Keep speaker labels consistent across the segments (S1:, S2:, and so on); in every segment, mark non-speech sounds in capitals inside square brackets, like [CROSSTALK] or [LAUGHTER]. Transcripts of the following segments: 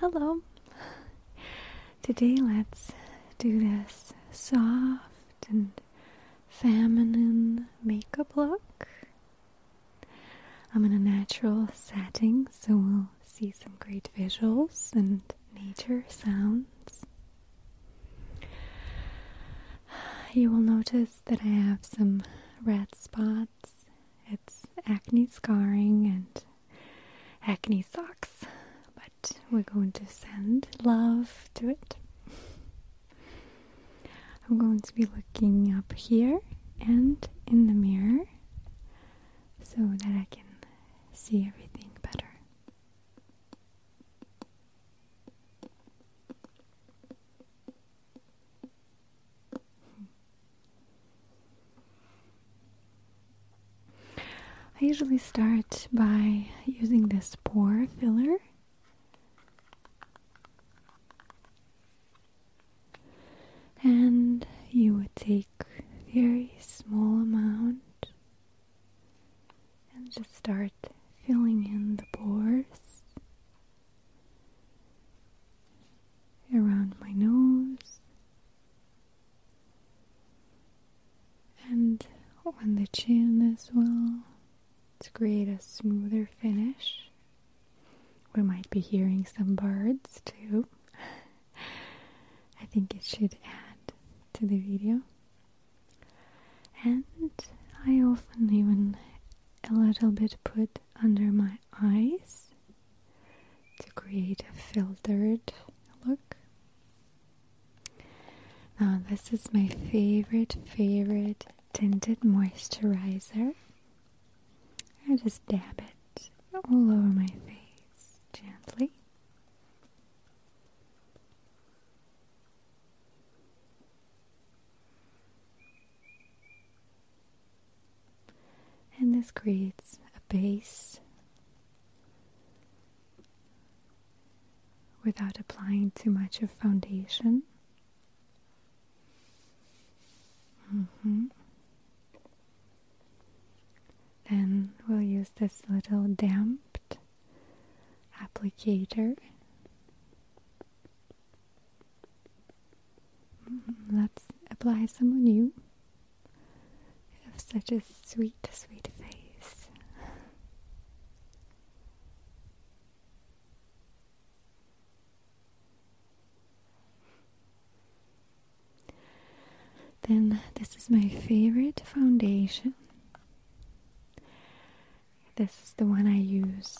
S1: Hello. Today let's do this soft and feminine makeup look. I'm in a natural setting, so we'll see some great visuals and nature sounds. You will notice that I have some red spots acne scarring and acne socks, but we're going to send love to it. I'm going to be looking up here and in the mirror so that I can see everything better. I usually start by using this pore filler. And you would take a very small amount and just start filling in the pores around my nose, and on the chin as well to create a smoother finish. We might be hearing some birds too. [LAUGHS] I think it should add to the video. And I often even a little bit put under my eyes to create a filtered look. Now, this is my favorite, favorite tinted moisturizer. I just dab it all over my face gently. And this creates a base without applying too much of foundation. Mm-hmm. Then we'll use this little damped applicator Mm, let's apply some on you. You have such a sweet, sweet face. Then this is my favorite foundation. This is the one I use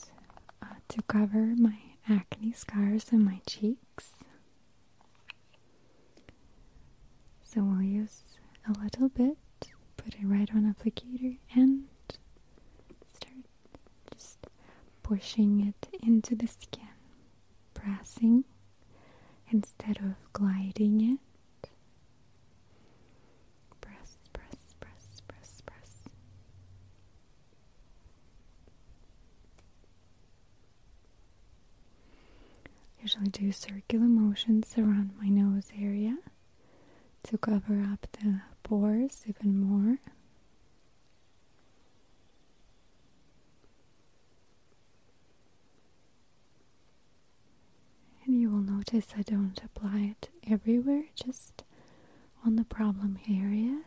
S1: uh, to cover my acne scars on my cheeks. So we'll use a little bit, put it right on applicator and start just pushing it into the skin, pressing instead of gliding it. Usually do circular motions around my nose area to cover up the pores even more. And you will notice I don't apply it everywhere, just on the problem areas.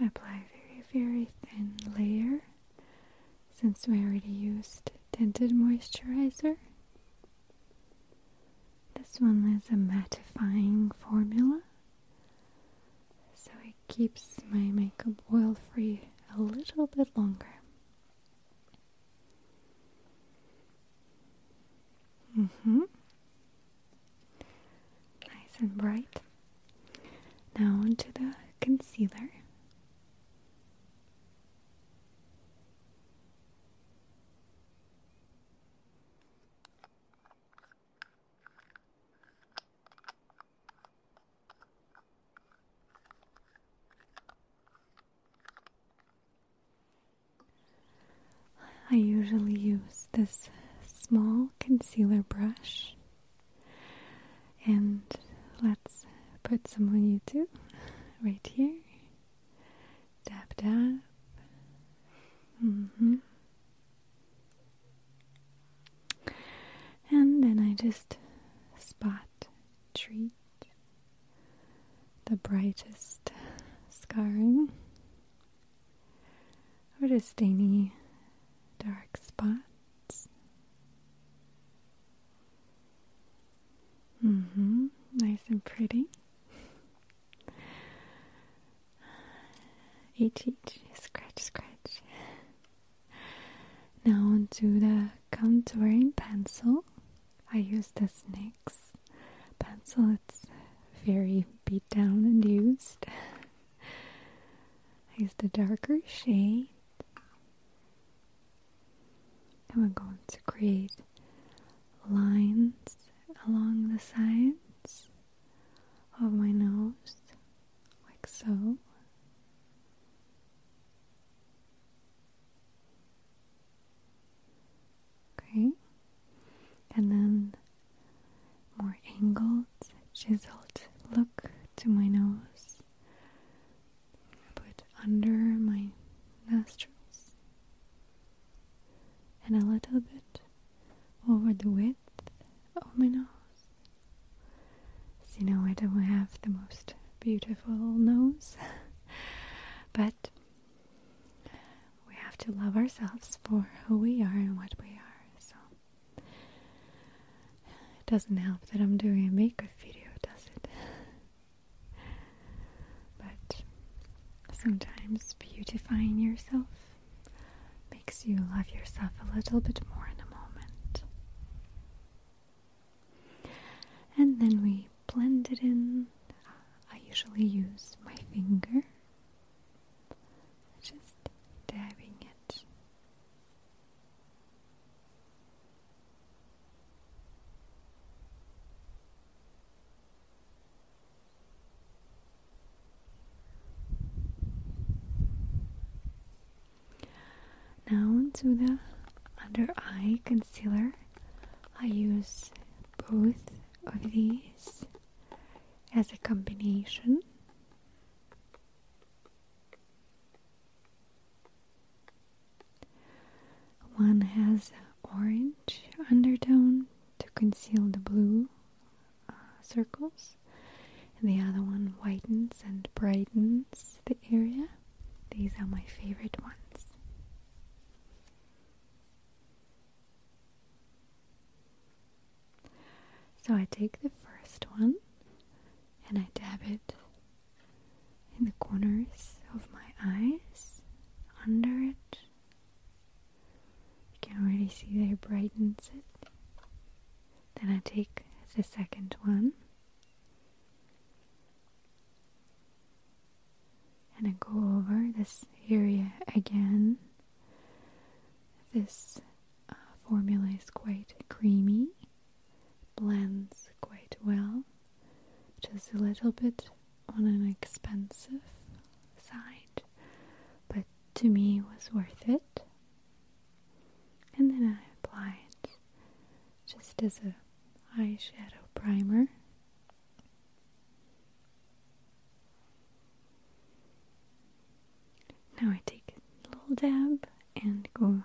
S1: I apply a very, very thin layer since we already used tinted moisturizer. This one is a mattifying formula, so it keeps my makeup oil free a little bit longer. hmm Nice and bright. Now onto the concealer. I usually use this small concealer brush and let's put some on YouTube [LAUGHS] right here. Dab dab. Mm And then I just spot treat the brightest scarring or just any dark spots. hmm, nice and pretty. [SIGHS] Each, scratch, scratch. Now onto the contouring pencil. I use the Snix pencil. It's very beat down and used. [LAUGHS] I the darker shade and we're going to create lines along the sides of my nose like so okay and then more angled, chiseled look to my nose. Put under my nostrils and a little bit over the width of my nose. So you know I don't have the most beautiful nose, [LAUGHS] but we have to love ourselves for who we are and what we are. So it doesn't help that I'm doing a makeup video, does it? but sometimes beautifying yourself makes you love yourself a little bit more in a moment. And then we blend it in. I usually use my finger just dabbing it. Now to the under eye concealer. I use both of these as a combination. One has an orange undertone to conceal the blue uh, circles. And the other one whitens and brightens the area. These are my favorite ones. So I take the first one and I dab it in the corners of my eyes, under it. You can already see that it brightens it. Then I take the second one and I go over this area again. This uh, formula is quite creamy, blends quite well, just a little bit on an expensive side, but to me was worth it. And then I apply it just as a eyeshadow primer. Now I take a little dab and go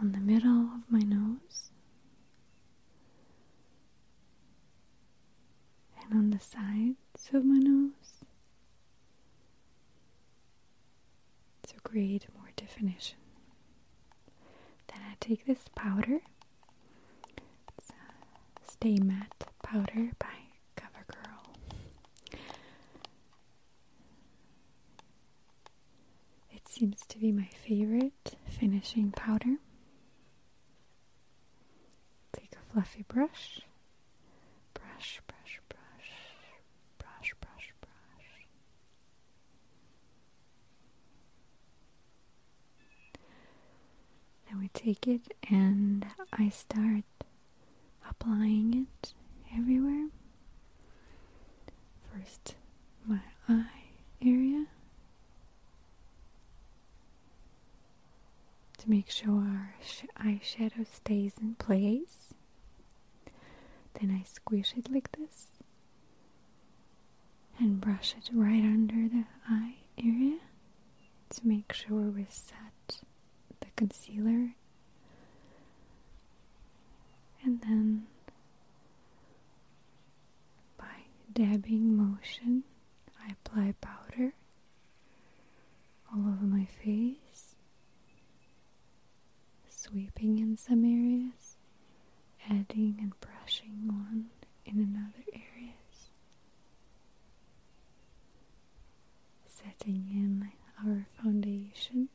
S1: on the middle of my nose and on the sides of my nose so create more definition. Then I take this powder, Stay Matte powder by CoverGirl. It seems to be my favorite finishing powder. Take a fluffy brush. Brush, brush, brush. Brush, brush, brush. Then we take it and I start applying it everywhere. First, my eye area to make sure our sh eyeshadow stays in place. Then I squish it like this and brush it right under the eye area to make sure we set the concealer and then by dabbing motion, I apply powder all over my face, sweeping in some areas, adding and brushing on in another areas setting in our foundation.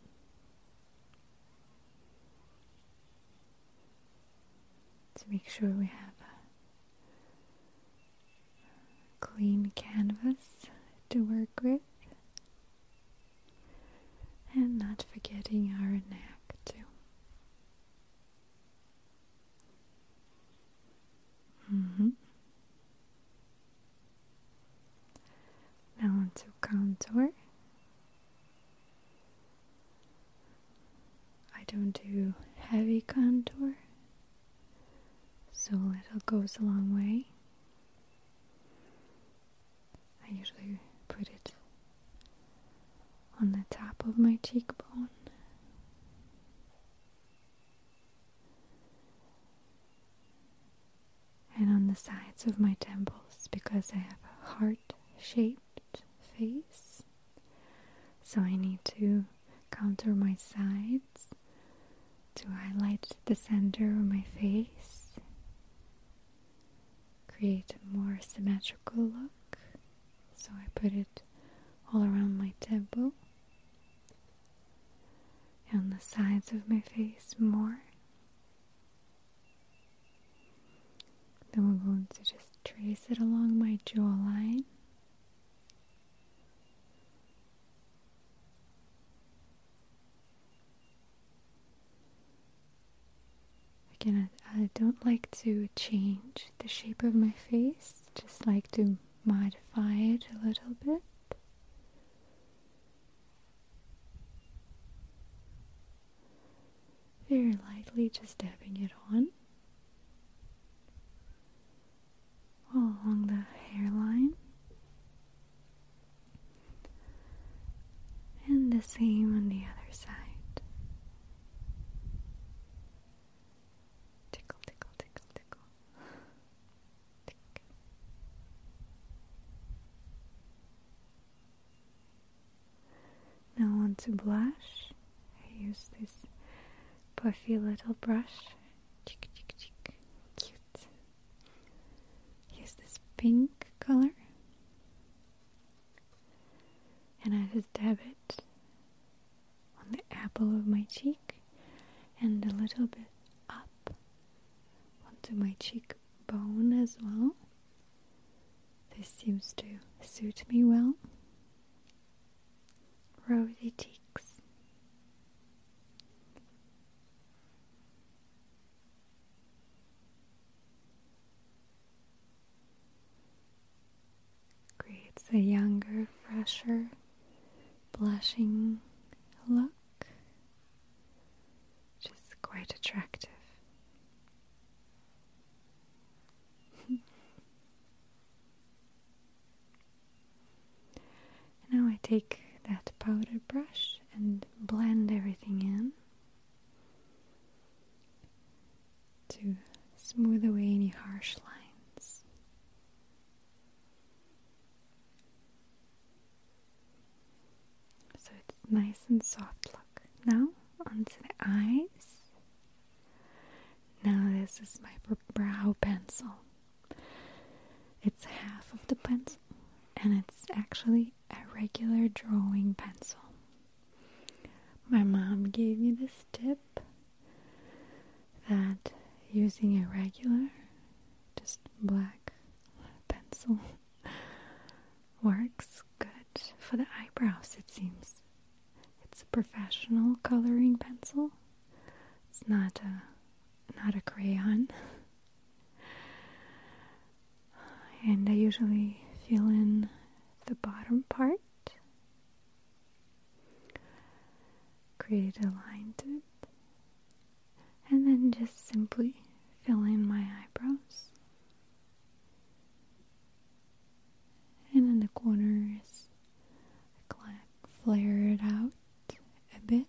S1: To make sure we have a clean canvas to work with, and not forgetting our neck, too. Mm-hmm. Now onto contour. I don't do heavy contour, so little goes a long way. I usually put it on the top of my cheekbone and on the sides of my temples because I have a heart shaped face. So I need to counter my sides to highlight the center of my face, create a more symmetrical look. So I put it all around my temple on the sides of my face more. Then we're going to just trace it along my jawline. Again, I don't like to change the shape of my face, just like to modify it a little bit. Very lightly just dabbing it on all along the hairline. And the same on the other side. Tickle, tickle, tickle, tickle. Tick. Now on to blush. I use this puffy little brush. Chick, Cute. Use this pink color. And I just dab it on the apple of my cheek and a little bit up onto my cheekbone as well. This seems to suit me well. Rosy cheeks. Creates a younger, fresher, blushing look trunk, which is quite attractive. [LAUGHS] now I take that powder brush and blend everything in to smooth away any harsh lines. So it's nice and soft look. Now onto the eyes. Now this is my brow pencil. It's half of the pencil and it's actually a regular drawing pencil. My mom gave me this tip that using a regular, just black pencil [LAUGHS] works good for the eyebrows, it seems. It's a professional coloring pencil. It's not a not a crayon. [LAUGHS] and I usually fill in the bottom part. Create a line to it and then just simply fill in my eyebrows. And in the corners, kind flare it out a bit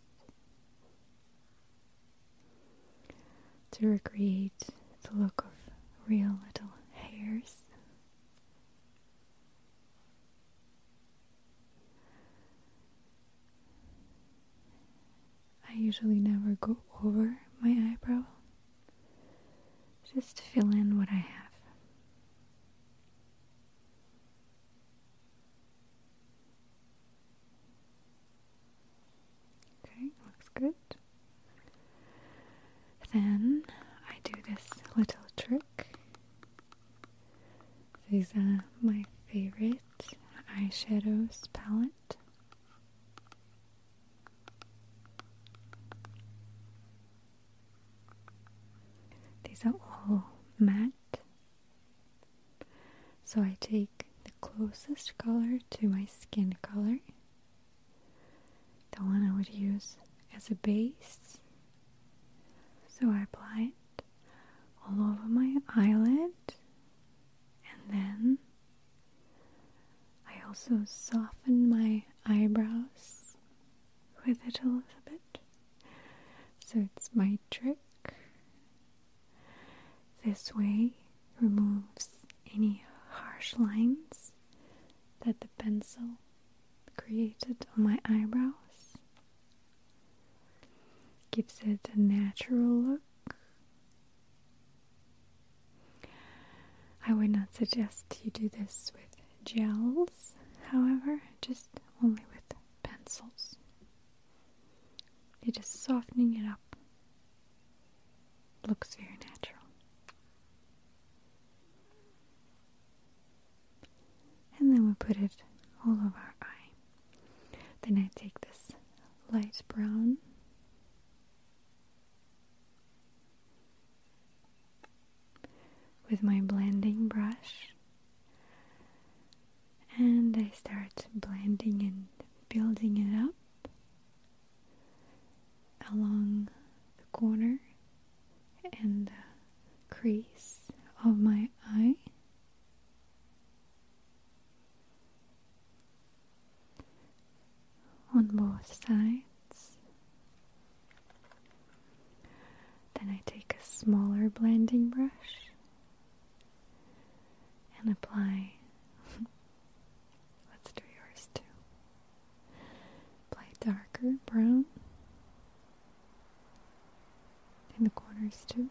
S1: to recreate the look of real little hairs. I usually never go over my eyebrow, just fill in what I have. Okay, looks good. Then I do this little trick these are my favorite eyeshadows palette. These are all matte. So I take the closest color to my skin color, the one I would use as a base. So I apply it all over my eyelid, and then I also soften my eyebrows with it a little bit. So it's my trick. This way removes any harsh lines that the pencil created on my eyebrows. Gives it a natural look. I would not suggest you do this with gels, however, just only with pencils. You're just softening it up. Looks very natural and then we put it all over our eye. Then I take this light brown with my blending brush and I start blending and building it up along the corner and crease of my eye on both sides. Then I take a smaller blending brush and apply. [LAUGHS] Let's do yours too. Apply darker brown in the corners too.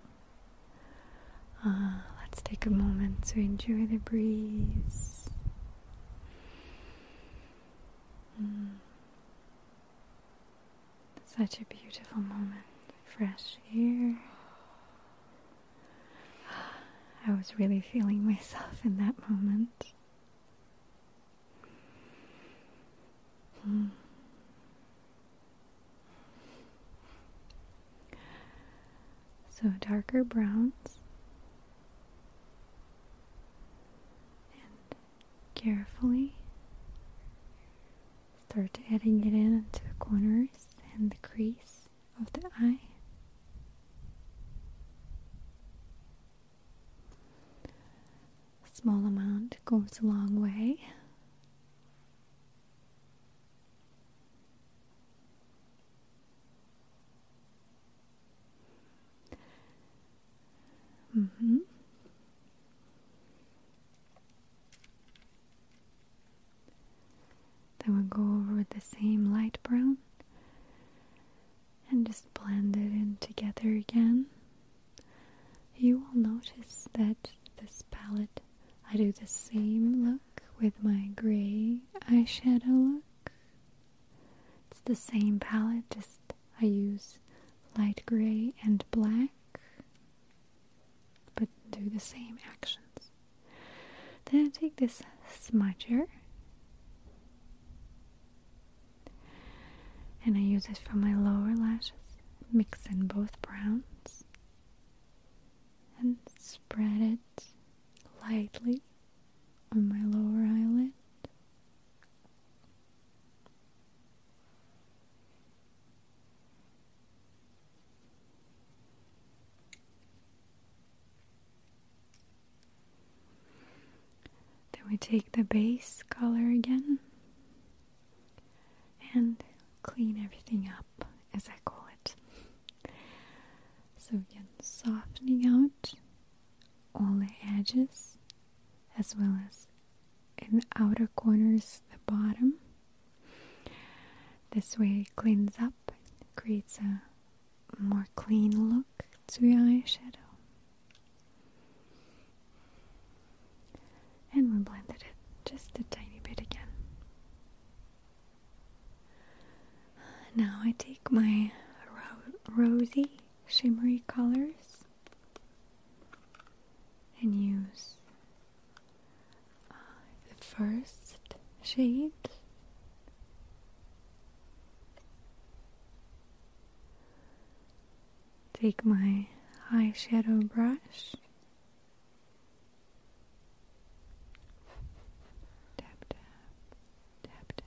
S1: Uh, let's take a moment to enjoy the breeze. Mm. Such a beautiful moment. Fresh air. I was really feeling myself in that moment. Mm. So darker browns and carefully start adding it in to the corners and the crease of the eye. A small amount goes a long way. Mm hmm Then we'll go over with the same light brown and just blend it in together again. You will notice that this palette, I do the same look with my grey eyeshadow look. It's the same palette, just I use light grey and black, but do the same actions. Then I take this smudger. And I use it for my lower lashes mix in both browns and spread it lightly on my lower eyelid. Then we take the base color again and clean everything up, as I call it. So, again, softening out all the edges as well as in the outer corners, the bottom. This way, it cleans up, creates a more clean look to your eyeshadow. And we blended it just a tiny bit again. Now I take my rosy shimmery colors and use uh, the first shade take my eyeshadow brush Tap tap, tap tap.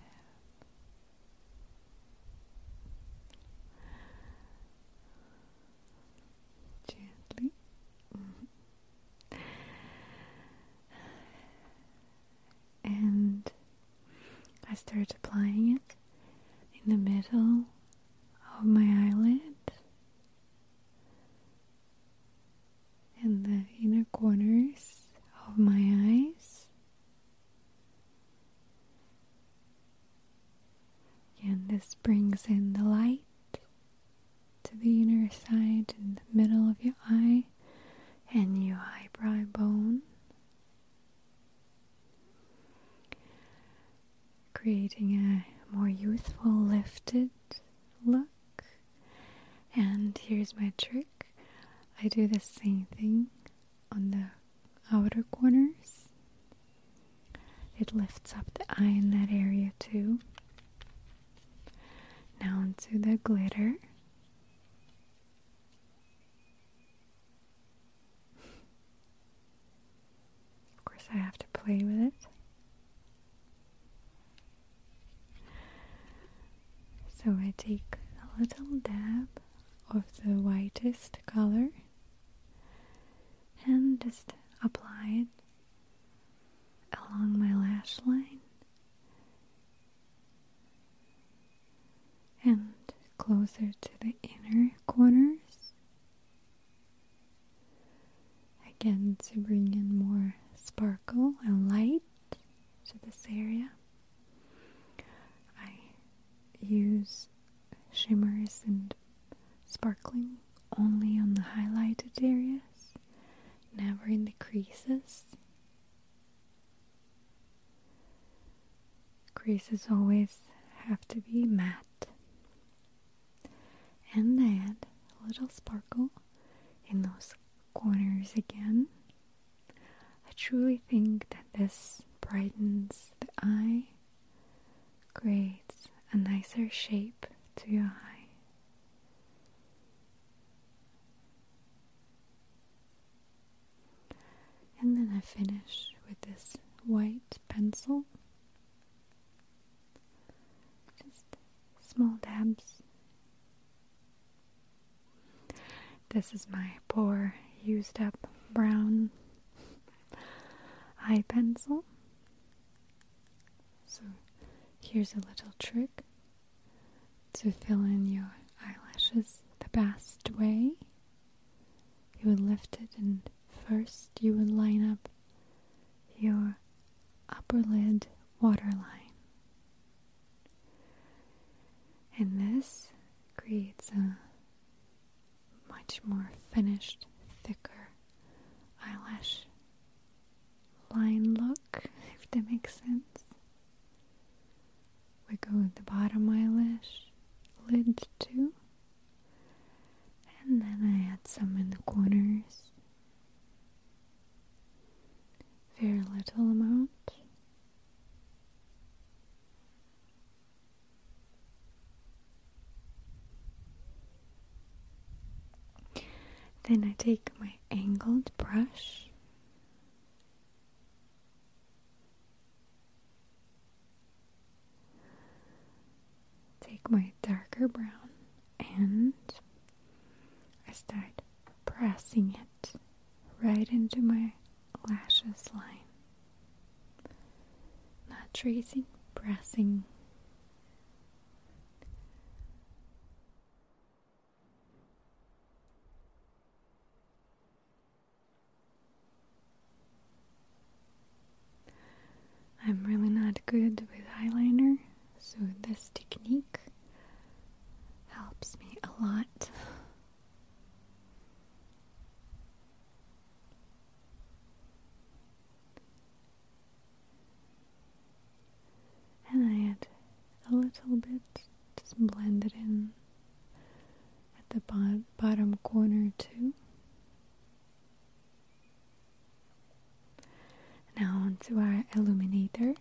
S1: Gently. Mm-hmm. and I start applying it in the middle of my eyelid and the inner corners of my eyes. And this brings in the light to the inner side and the middle of your eye and your eyebrow bone creating a more youthful, lifted look. And here's my trick I do the same thing on the outer corners, it lifts up the eye in that area too. Now, onto the glitter. Of course, I have to play with it. So I take a little dab of the whitest color and just apply it along my lash line and closer to the inner corners Again, to bring in more sparkle and light to this area, I use shimmers and sparkling only on the highlighted areas, never in the creases. Creases always have to be matte and that little sparkle in those corners again. I truly think that this brightens the eye, creates a nicer shape to your eye. And then I finish with this white pencil just small dabs. This is my poor, used up brown eye pencil. So, here's a little trick to fill in your eyelashes the best way you would lift it and first you would line up your upper lid waterline. And this creates a much more finished, thicker eyelash line look, if that makes sense. We go with the bottom eyelash lid too, and then I add some in the corners. Very little amount. Then I take my angled brush Take my darker brown and I start pressing it right into my lashes line. Not tracing, pressing. I'm really not good with eyeliner, so this technique helps me a lot. And I add a little bit, just blend it in at the bottom corner too. Now onto our illuminator.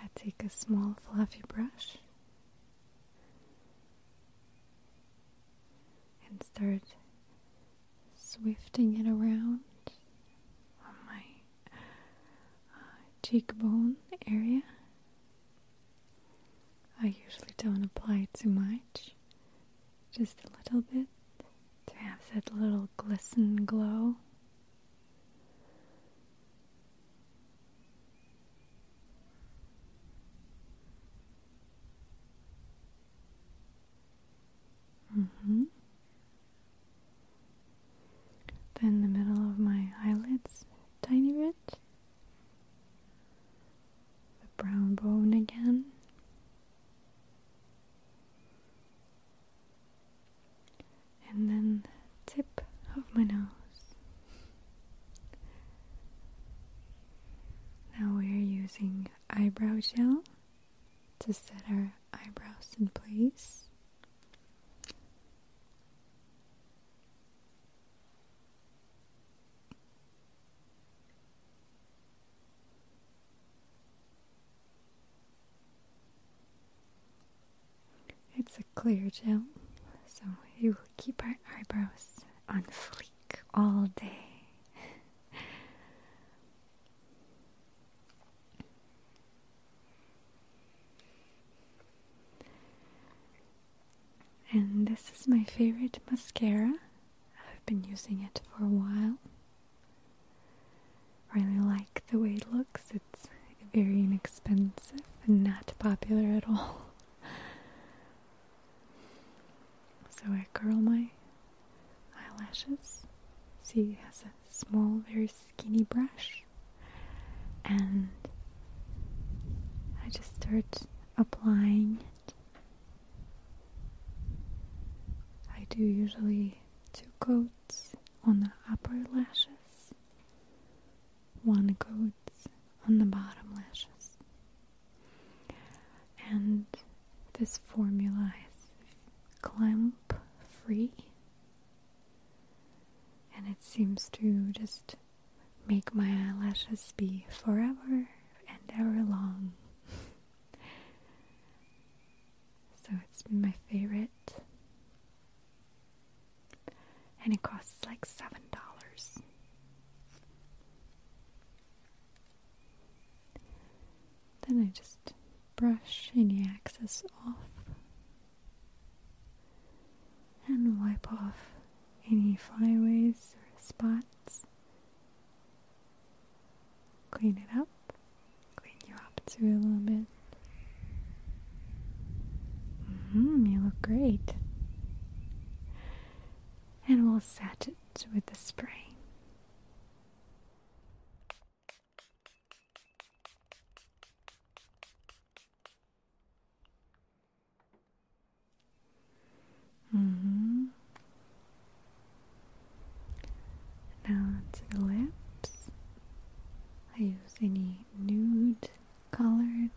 S1: I take a small fluffy brush and start swifting it around on my uh, cheekbone area. I usually don't apply too much, just a little bit to have that little glisten glow. Mm hmm. Then the middle of my eyelids, tiny bit. The brown bone again. And then tip of my nose. Now we are using eyebrow gel to set our eyebrows in place. It's a clear gel, so we will keep our eyebrows on fleek all day. and this is my favorite mascara. I've been using it for a while. Really like the way it looks. It's very inexpensive and not popular at all. [LAUGHS] So I curl my eyelashes. See, it has a small, very skinny brush. And I just start applying it. I do usually two coats on the upper lashes one coats on the bottom lashes. And this formula is clump free, and it seems to just make my eyelashes be forever and ever long. [LAUGHS] so it's my favorite and it costs like seven dollars. Then I just brush any excess off and wipe off any flyaways or spots. Clean it up, clean you up too a little bit. Mm, you look great and we'll set it with the spray. Mm-hmm. Now to the lips. I use any nude colored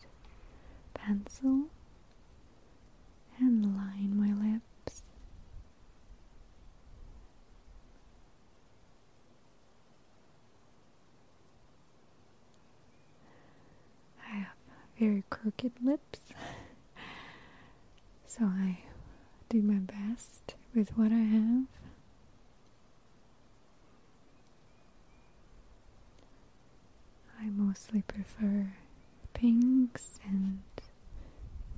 S1: pencil and line my lips. I have very crooked lips, [LAUGHS] so I do my best with what I have. I mostly prefer pinks and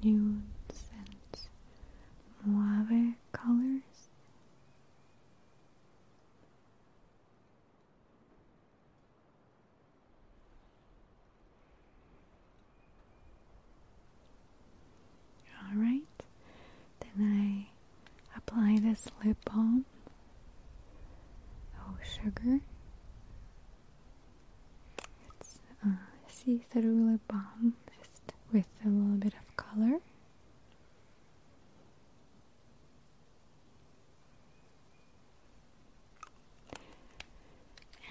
S1: nudes and mauve colors. All right, then I apply this lip balm. Oh, sugar. It's uh, see through lip balm, just with a little bit of color.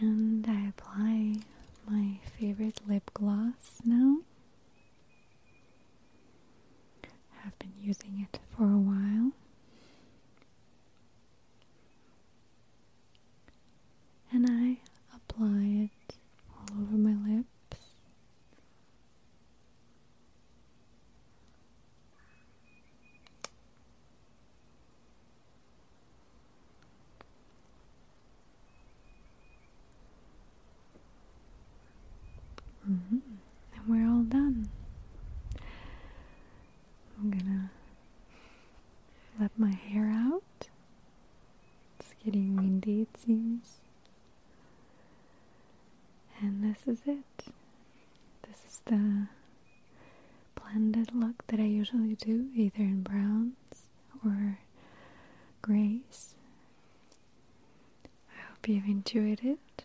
S1: And I apply my favorite lip gloss now have been using it for a while. And I apply it all over my lips. Mm-hmm. And we're all done. I'm gonna let my hair out. It's getting windy, it seems. And this is it. This is the blended look that I usually do, either in browns or grays. I hope you've enjoyed it.